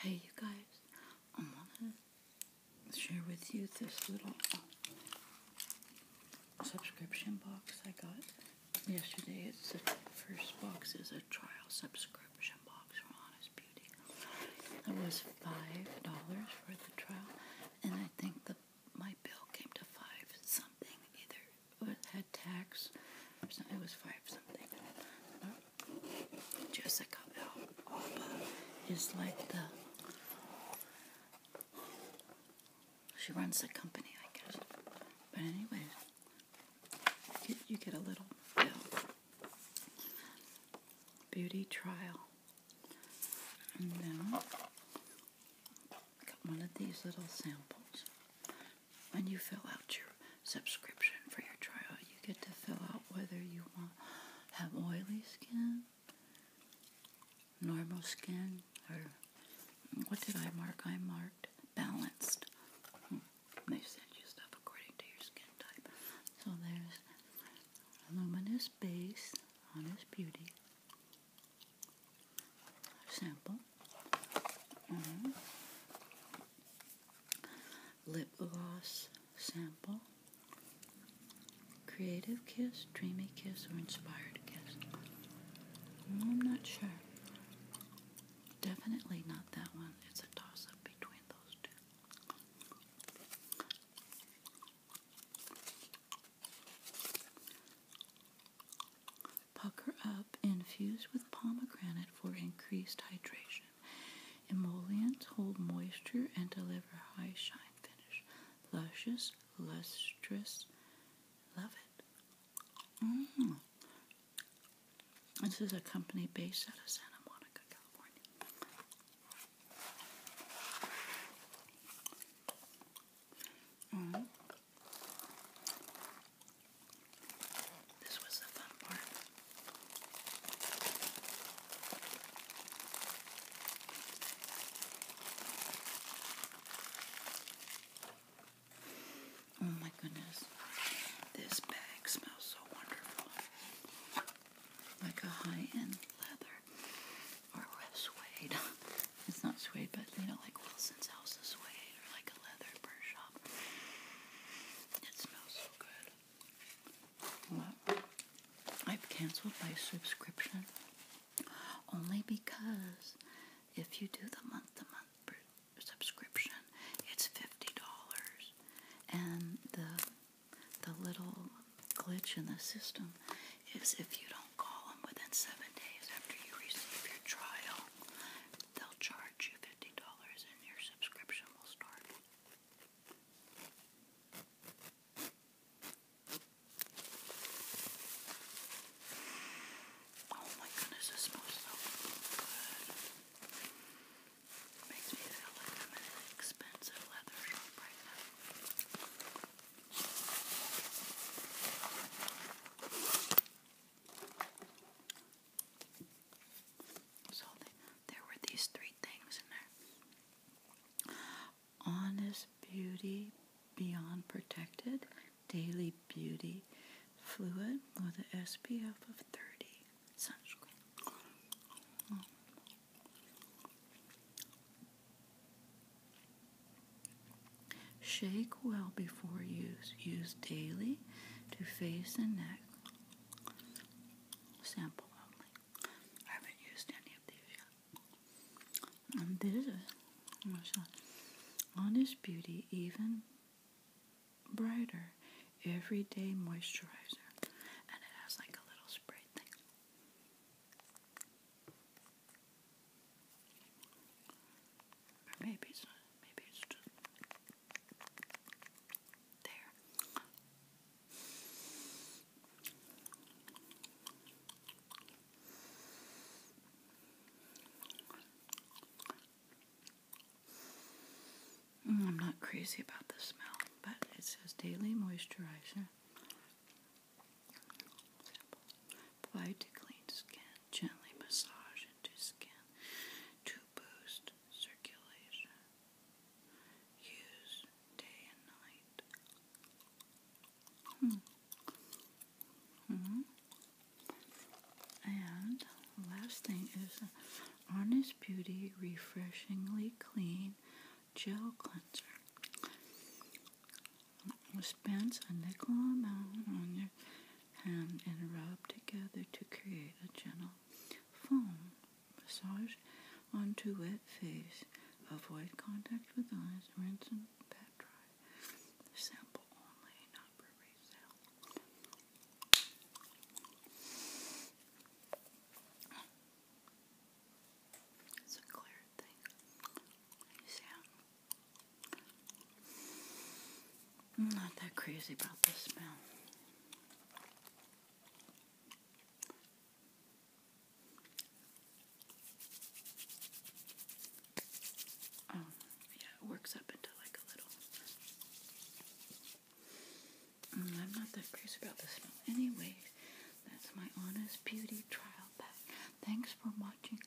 Hey you guys, I want to share with you this little uh, subscription box I got yesterday. It's the first box is a trial subscription box from Honest Beauty. It was five dollars for the trial, and I think my bill came to five something either. had tax. or something. It was five something. Jessica Alba is like the. She runs the company, I guess. But anyway, you, get a little Beauty trial. And then I got one of these little samples when you fill out your subscription for your trial, you get to fill out whether you want have oily skin, normal skin, or what did I mark? I marked balanced. Hmm. They send you stuff according to your skin type. So there's luminous base, on honest beauty sample. Mm-hmm. Lip gloss sample. Creative kiss, dreamy kiss, or inspired kiss. I'm not sure. Definitely not that one. It's a toss up between those two pucker up, infused with pomegranate for increased hydration. Emollients hold moisture and deliver high shine finish. Luscious, lustrous. Love it. Mm. This is a company based out of Santa Monica, California. Mm. This was the fun part. Oh my goodness. This bag smells so wonderful. Like a high-end leather or suede. it's not suede, but you know, like Wilson's House suede or like a leather Persia. It smells so good. I've canceled my subscription only because if you do the month to month subscription, it's $50. And the the little glitch in the system is if you don't call them within seven days after you receive your trial, they'll charge you $50 and your subscription will start. Oh my goodness, this smells so good. Makes me feel like I'm in an expensive leather shop right now. So there were these three things in there honest beauty, beyond protected, daily beauty, fluid with an SPF of 30, sunscreen. Shake well before use. Use daily to face and neck. Sample only. I haven't used any of these yet. And this oh Honest Beauty Even Brighter Everyday Moisturizer. And it has like a little spray thing maybe it's Maybe it's just there. Mm, I'm not crazy about the smell, but it says daily moisturizer. Applied to clean skin. Gently massage into skin to boost circulation. Use day and night. Hmm. hmm And last thing is Honest Beauty Refreshingly Clean Gel Cleanser. Dispense a nickel amount on your hand and rub together to create a gentle foam. Massage onto wet face. Avoid contact with eyes. Rinse and pat dry. Sample only, not for resale. It's a clear thing. You I'm not that crazy about this smell. Oh, yeah, it works up into like a little. Mm, I'm not that crazy about this smell. Anyways, that's my Honest Beauty trial pack. Thanks for watching.